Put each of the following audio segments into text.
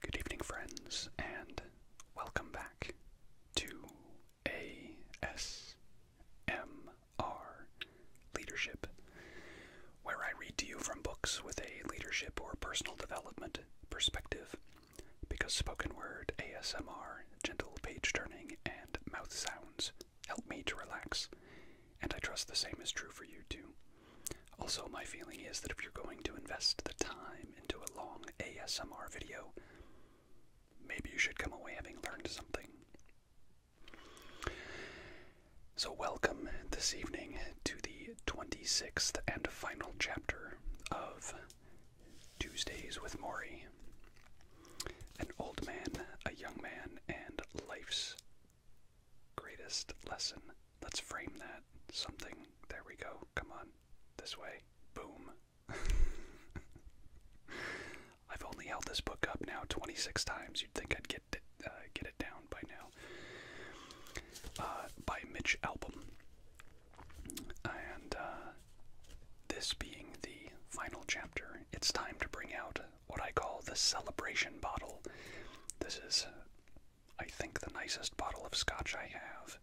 Good evening, friends, and welcome back to ASMR Leadership, where I read to you from books with a leadership or personal development perspective, because spoken word, ASMR, gentle page turning, and mouth sounds help me to relax, and I trust the same is true for you too. Also, my feeling is that if you're going to invest the time into a long ASMR video, maybe you should come away having learned something. So, welcome this evening to the 26th and final chapter of Tuesdays with Maury An Old Man, a Young Man, and Life's Greatest lesson. Let's frame that. Something. There we go. Come on. This way. Boom. I've only held this book up now 26 times. You'd think I'd get uh, get it down by now. Uh, by Mitch Album. And uh, this being the final chapter, it's time to bring out what I call the celebration bottle. This is I think, the nicest bottle of scotch I have.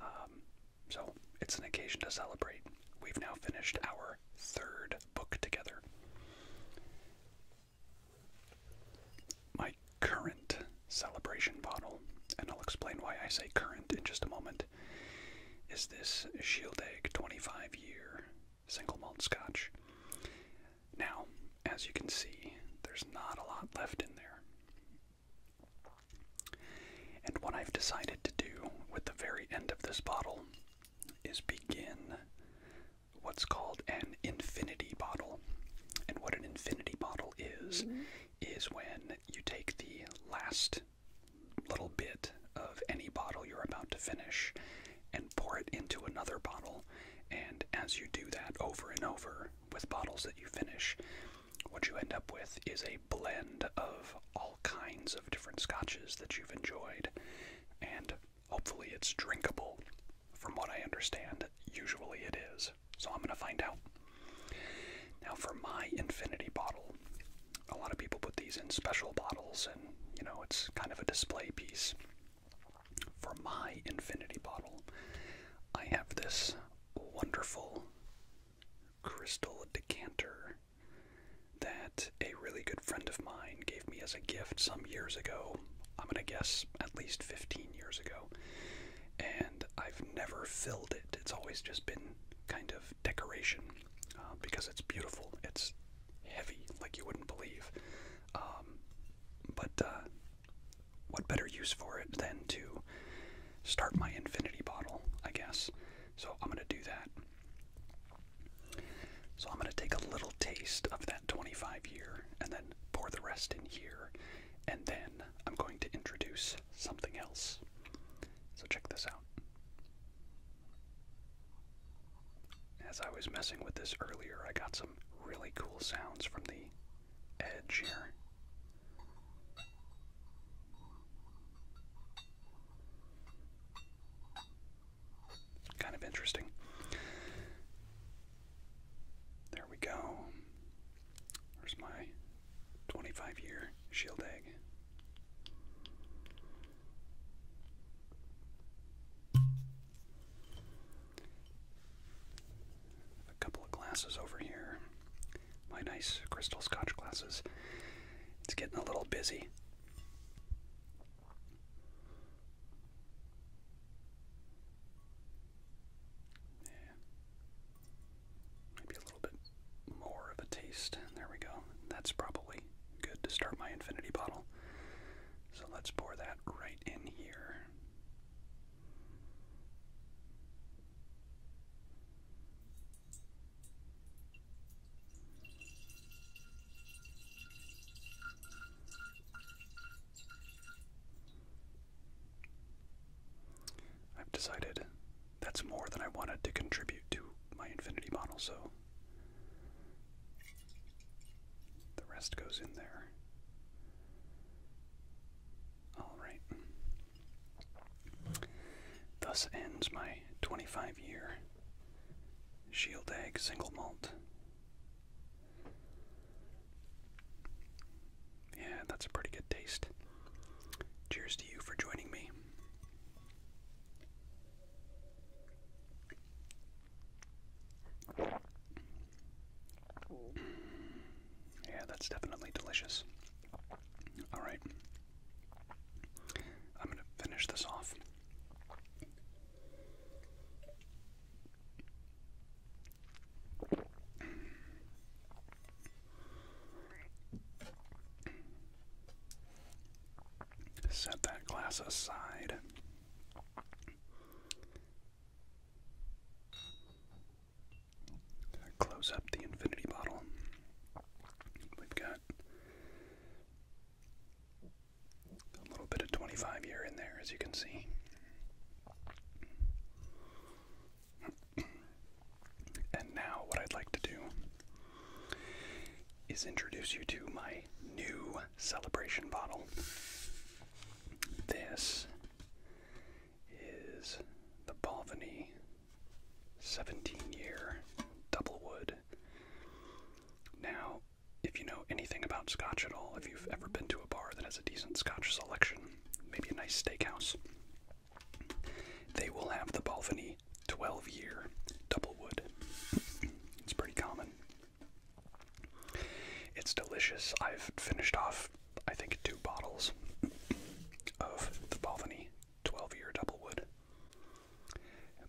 Um, so it's an occasion to celebrate. We've now finished our third book together. My current celebration bottle, and I'll explain why I say current in just a moment, is this Shield Egg 25 year single malt scotch. Now, as you can see, there's not a lot left in there. And what I've decided to do with the very end of this bottle is begin what's called an infinity bottle. And what an infinity bottle is, mm-hmm. is when you take the last little bit of any bottle you're about to finish and pour it into another bottle. And as you do that over and over, with bottles that you finish, what you end up with is a blend of all kinds of different scotches that you've enjoyed, and hopefully it's drinkable. From what I understand, usually it is. So I'm going to find out. Now, for my infinity bottle, a lot of people put these in special bottles, and you know, it's kind of a display piece. For my infinity bottle, I have this wonderful crystal decanter that a really good friend of mine gave me as a gift some years ago. I'm going to guess at least 15 years ago. And I've never filled it, it's always just been kind of decoration uh, because it's beautiful. It's heavy, like you wouldn't believe. Um, but uh, what better use for it than to start my infinity bottle, I guess. So I'm going to do that. So I'm going to take a little taste of that 25 year and then pour the rest in here. And then I'm going to introduce something else. So check this out. As I was messing with this earlier, I got some really cool sounds from the edge here. Kind of interesting. There we go. There's my 25 year shield egg. A couple of glasses over here. My nice crystal scotch glasses. It's getting a little busy. Yeah. Maybe a little bit more of a taste. There we go. That's probably good to start my infinity bottle. So let's pour that right in here. I've decided that's more than I wanted to contribute to my infinity model, so the rest goes in there. All right. Thus ends my 25 year shield egg single malt. Yeah, that's a pretty good taste. Cheers to you for joining me. Yeah, that's definitely delicious. Alright. I'm going to finish this off. Set that glass aside. Close up the infinity bottle. We've got a little bit of 25 year in there, as you can see. And now, what I'd like to do is introduce you to my new celebration bottle. This is the Balvenie 17 year double wood. Now, if you know anything about scotch at all, if you've ever been to a bar that has a decent scotch selection, maybe a nice steakhouse, they will have the Balvenie 12 year double wood. it's pretty common. It's delicious. I've finished off I think, two bottles of the Balvenie 12 year double wood.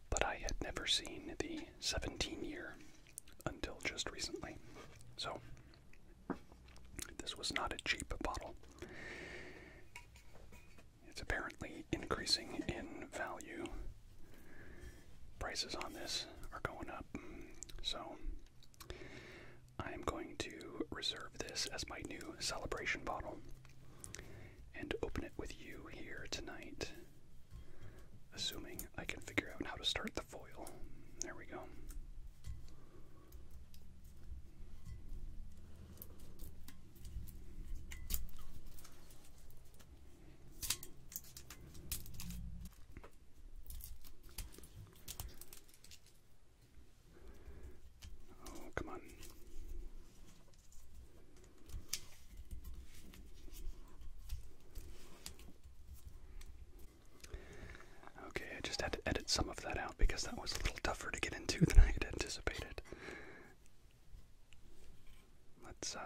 But I had never seen the 17 year until just recently. So, this was not a cheap bottle. It's apparently increasing in value. Prices on this are going up. So, I'm going to reserve this as my new celebration bottle and open it with you here tonight. Assuming I can figure out how to start the foil. There we go. Oh, come on. Okay, I just had to edit some of that out because that was a little tougher to get into than I had anticipated. Let's uh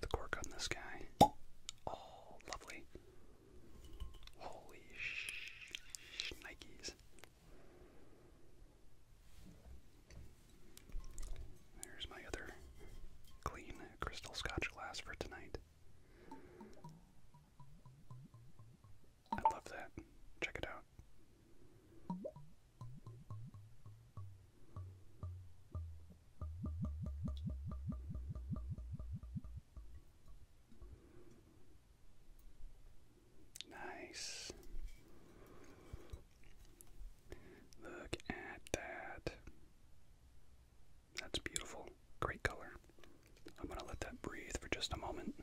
the cork on this guy. Oh, lovely. Holy sh Nikes. There's my other clean crystal scotch glass for tonight. I love that. Check it out. Nice. Look at that. That's beautiful. Great color. I'm going to let that breathe for just a moment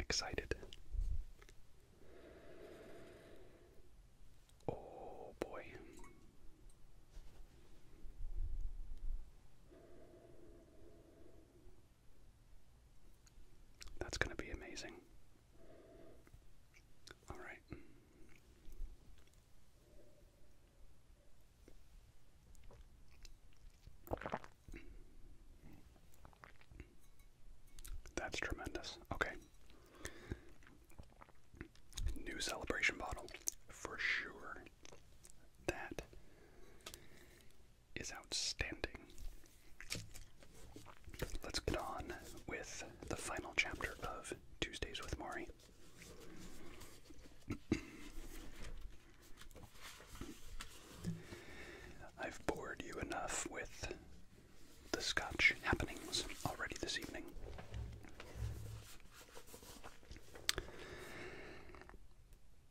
excited. Oh boy. That's going to be amazing. All right. That's tremendous. Okay. New celebration bottle for sure. That is outstanding. Let's get on with the final chapter of Tuesdays with Mari. I've bored you enough with the Scotch happenings already this evening.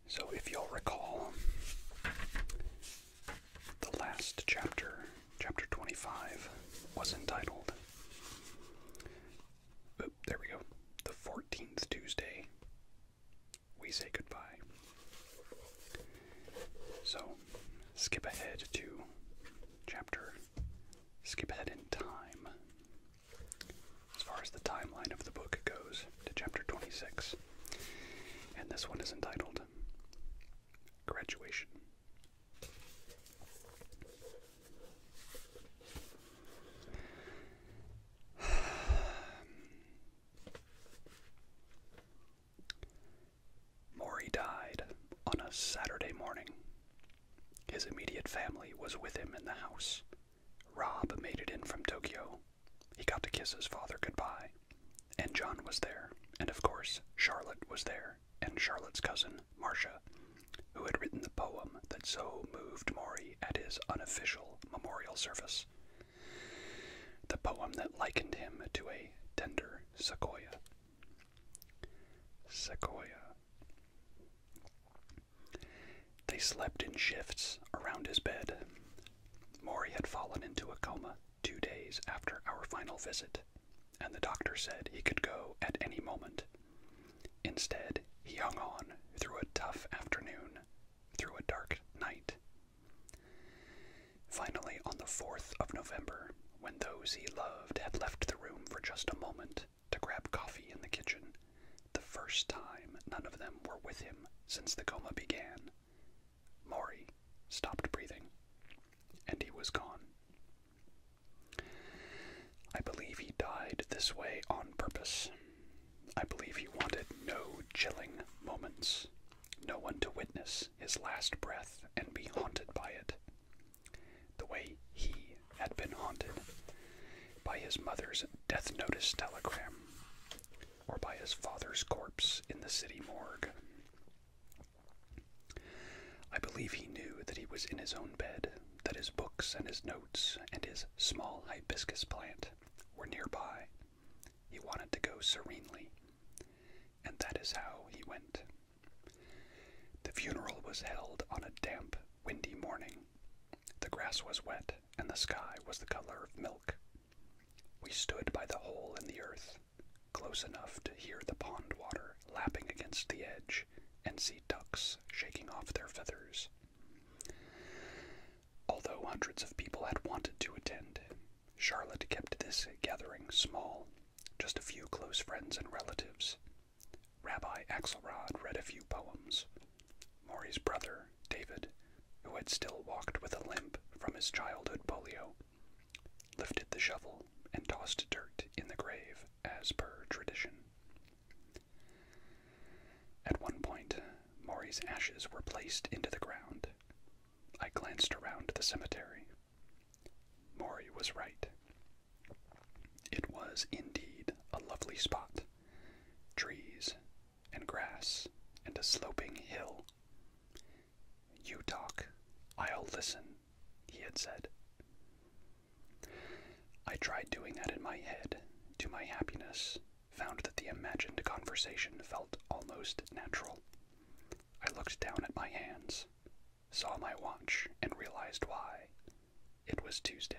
So, if you'll recall, the last chapter, chapter 25, was entitled, there we go, The 14th Tuesday we say goodbye. So, skip ahead to chapter, skip ahead in time. As far as the timeline of the book goes, to chapter 26. And this one is entitled Graduation. Maury died on a Saturday morning. His immediate family was with him in the house. Rob made it in from Tokyo. He got to kiss his father goodbye. And John was there. And of course, Charlotte was there. And Charlotte's cousin, Marcia, who had written the poem that so moved Maury at his unofficial memorial service the poem that likened him to a tender sequoia. Sequoia. They slept in shifts around his bed. Mori had fallen into a coma two days after our final visit, and the doctor said he could go at any moment. Instead, he hung on through a tough afternoon, through a dark night, Finally, on the 4th of November, when those he loved had left the room for just a moment to grab coffee in the kitchen, the first time none of them were with him since the coma began, Maury stopped breathing, and he was gone. I believe he died this way on purpose. I believe he wanted no chilling moments, no one to witness his last breath and be haunted by it, the way he had been haunted by his mother's death notice telegram or by his father's corpse in the city morgue. I believe he knew that he was in his own bed, that his books and his notes and his small hibiscus plant were nearby, he wanted to go serenely, and that is how he went. The funeral was held on a damp, windy morning. The grass was wet, and the sky was the color of milk. We stood by the hole in the earth, close enough to hear the pond water lapping against the edge and see ducks shaking off their feathers. Although hundreds of people had wanted to attend, Charlotte kept this gathering small, just a few close friends and relatives. Rabbi Axelrod read a few poems. Maury's brother, David, who had still walked with a limp from his childhood polio, lifted the shovel and tossed dirt in the grave as per tradition. At one point, Maury's ashes were placed into the ground, I glanced around the cemetery. Maury was right. It was indeed a lovely spot. Trees and grass and a sloping hill. You talk, I'll listen, he had said. I tried doing that in my head, to my happiness, found that the imagined conversation felt almost natural. I looked down at my hands, saw my watch, and realized why. It was Tuesday.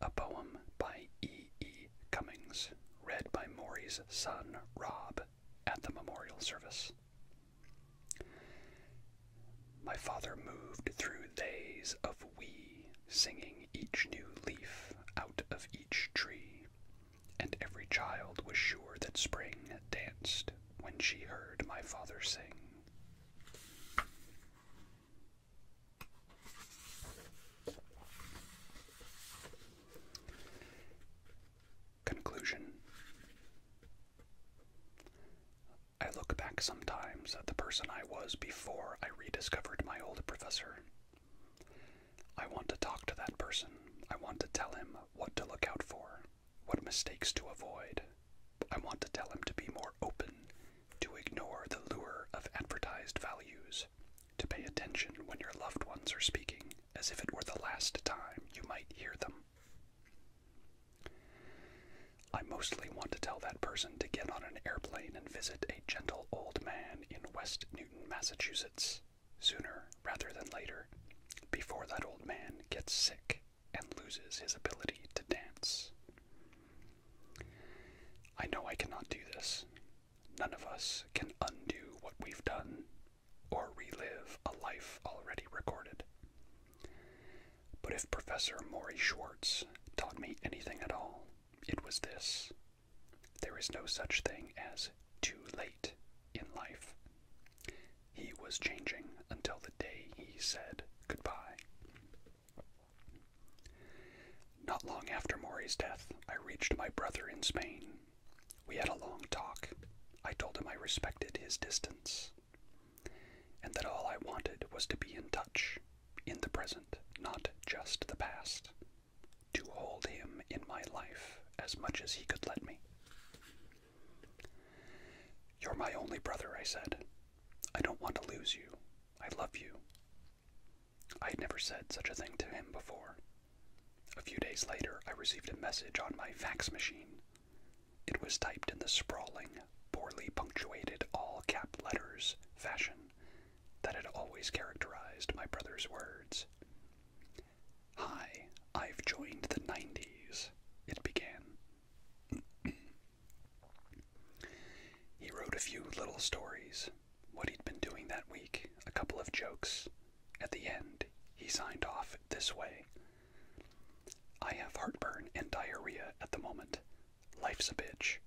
A poem by E. E. Cummings, read by Maury's son, Rob, at the memorial service. My father moved through days of we, singing each new leaf out of each tree, and every child was sure that spring danced when she heard my father sing. Conclusion I look back sometimes at the person I was before I rediscovered my old professor I want to talk to that person. I want to tell him what to look out for, what mistakes to avoid. I want to tell him to be more open, to ignore the lure of advertised values, to pay attention when your loved ones are speaking as if it were the last time you might hear them. I mostly want to tell that person to get on an airplane and visit a gentle old man in West Newton, Massachusetts, sooner rather than later, before that old man gets sick and loses his ability to dance. I know I cannot do this. None of us can undo what we've done or relive a life already recorded. But if Professor Maury Schwartz taught me anything at all, it was this there is no such thing as too late in life. He was changing until the day he said goodbye. Not long after Maury's death, I reached my brother in Spain. We had a long talk. I told him I respected his distance and that all I wanted was to be in touch, in the present, not just the past, to hold him in my life as much as he could let me. You're my only brother, I said. I don't want to lose you. I love you. I had never said such a thing to him before. A few days later, I received a message on my fax machine. It was typed in the sprawling, poorly punctuated all cap letters fashion that had always characterized my brother's words. Hi, I've joined the 90s, it began. he wrote a few little stories, what he'd been doing that week, a couple of jokes. At the end, he signed off this way I have heartburn and diarrhea at the moment. Life's a bitch.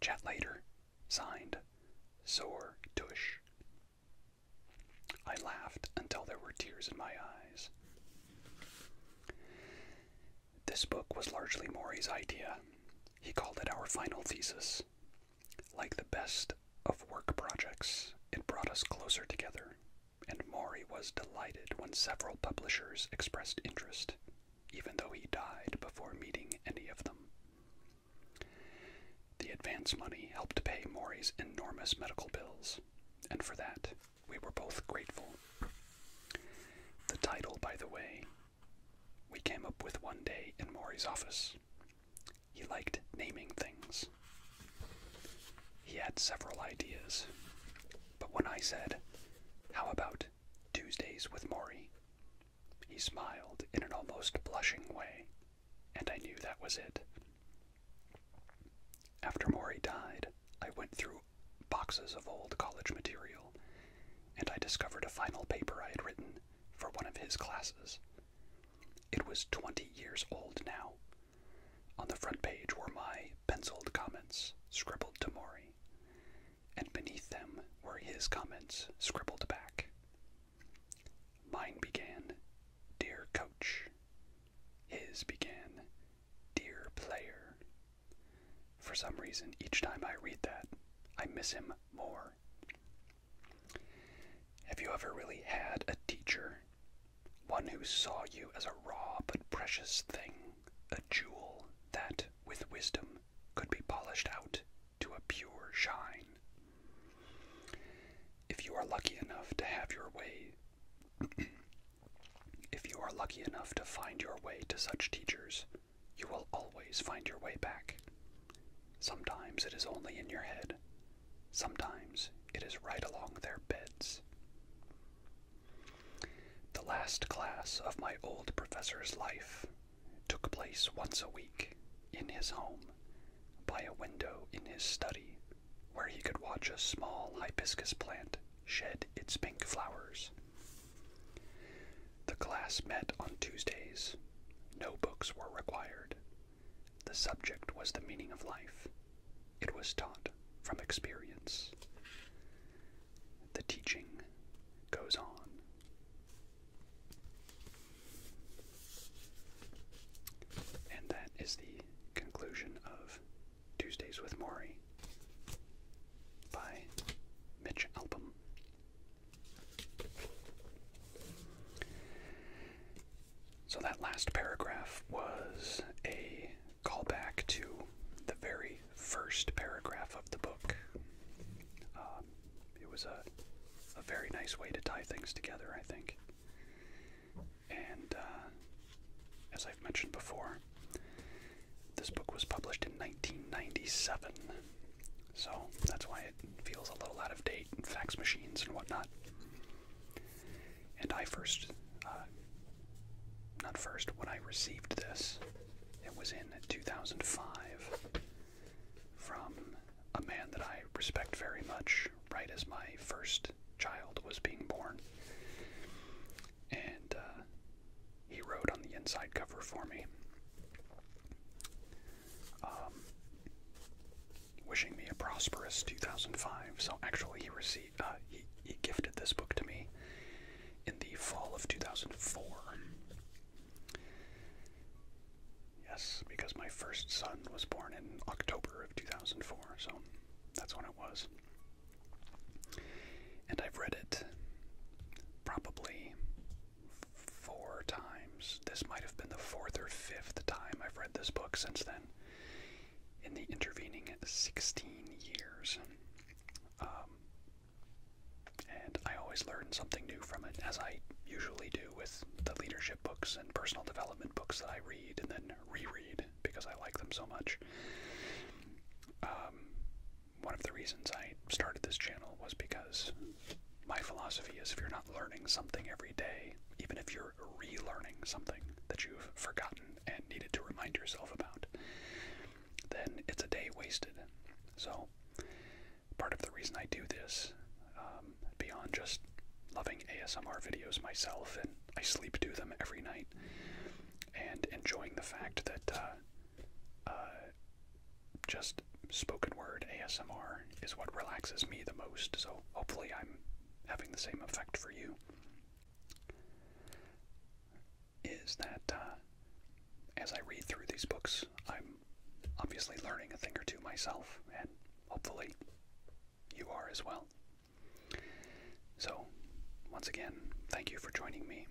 Chat later. Signed, Zor Tush. I laughed until there were tears in my eyes. This book was largely Maury's idea. He called it our final thesis. Like the best of work projects, it brought us closer together, and Maury was delighted when several publishers expressed interest, even though he died before meeting any of them. The advance money helped pay Maury's enormous medical bills, and for that, we were both grateful. The title, by the way, we came up with one day in Maury's office. He liked naming things. He had several ideas, but when I said, How about Tuesdays with Maury? He smiled in an almost blushing way, and I knew that was it. After Maury died, I went through boxes of old college material, and I discovered a final paper I had written for one of his classes. It was 20 years old now. On the front page were my penciled comments, scribbled to Maury and beneath them were his comments scribbled back. Mine began, Dear Coach. His began, Dear Player. For some reason, each time I read that, I miss him more. Have you ever really had a teacher? One who saw you as a raw but precious thing, a jewel that, with wisdom, could be polished out to a pure shine. If you are lucky enough to have your way, if you are lucky enough to find your way to such teachers, you will always find your way back. Sometimes it is only in your head, sometimes it is right along their beds. The last class of my old professor's life took place once a week in his home by a window in his study where he could watch a small hibiscus plant shed its pink flowers. The class met on Tuesdays. No books were required. The subject was the meaning of life. It was taught from experience. The teaching goes on. And that is the conclusion of Tuesdays with Maury by Mitch Album. So that last paragraph was a callback to the very first paragraph of the book. Uh, um, it was a, very nice way to tie things together, I think. And uh, as I've mentioned before, this book was published in 1997, so that's why it feels a little out of date, and fax machines and whatnot. And I first, uh, not first, when I received this, it was in 2005 from a man that I respect very much, right as my first child was being born. And uh, he wrote on the inside cover for me, um, wishing me a prosperous 2005. So actually, he received uh, he gifted this book to me in the fall of 2004. Yes, because my first son was born in October of 2004, so that's when it was. And I've read it probably four times. This might have been the fourth or fifth time I've read this book since then, in the intervening 16 years. Um, and I always learn something new from it, as I usually do with the leadership books and personal development books that I read and then reread because I like them so much. Um, one of the reasons I started this channel was because my philosophy is if you're not learning something every day, even if you're relearning something that you've forgotten and needed to remind yourself about, then it's a day wasted. So part of the reason I do this, um, beyond just loving ASMR videos myself, and I sleep to them every night, and enjoying the fact that uh, uh, just spoken word ASMR is what relaxes me the most. So hopefully, I'm having the same effect for you. Is that uh, as I read through these books, I'm obviously learning a thing or two myself, and hopefully you are as well. So, once again, thank you for joining me.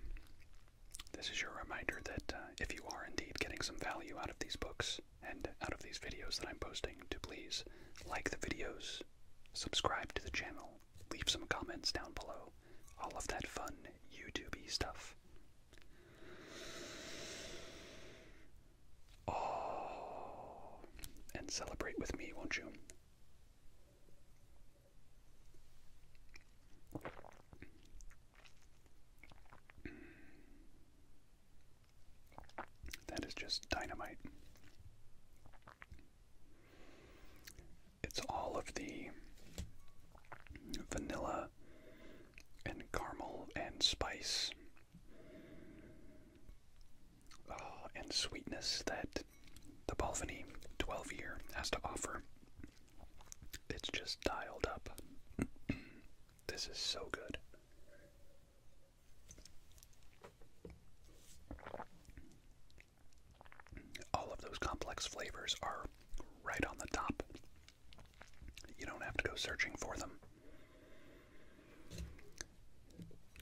This is your reminder that uh, if you are indeed getting some value out of these books and out of these videos that I'm posting, to please like the videos, subscribe to the channel, leave some comments down below, all of that fun YouTube stuff. Oh, and celebrate with me, won't you? That is just dynamite. It's all of the vanilla and caramel and spice uh, and sweetness that the Balvenie 12 year has to offer. It's just dialed up. this is so good. All of those complex flavors are right on the top you don't have to go searching for them.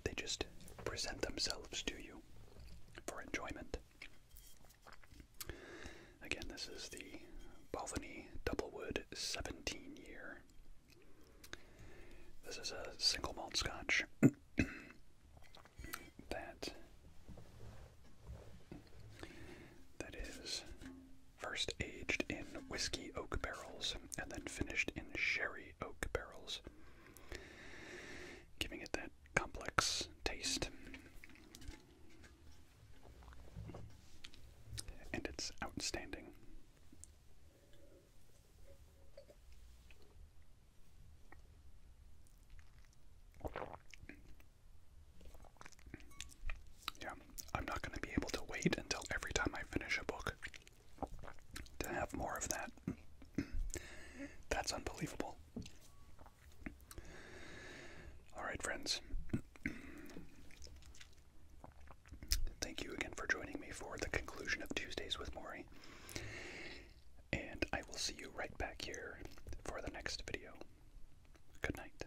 They just present themselves to you for enjoyment. Again, this is the Balvenie Double Wood 17 year. This is a single malt scotch that that is first aged in whiskey oak barrels and then finished in sherry oak barrels, giving it that complex taste. And it's outstanding. Yeah, I'm not going to be able to wait until every time I finish a book to have more of that. That's unbelievable. Alright, friends. Thank you again for joining me for the conclusion of Tuesdays with Maury. And I will see you right back here for the next video. Good night.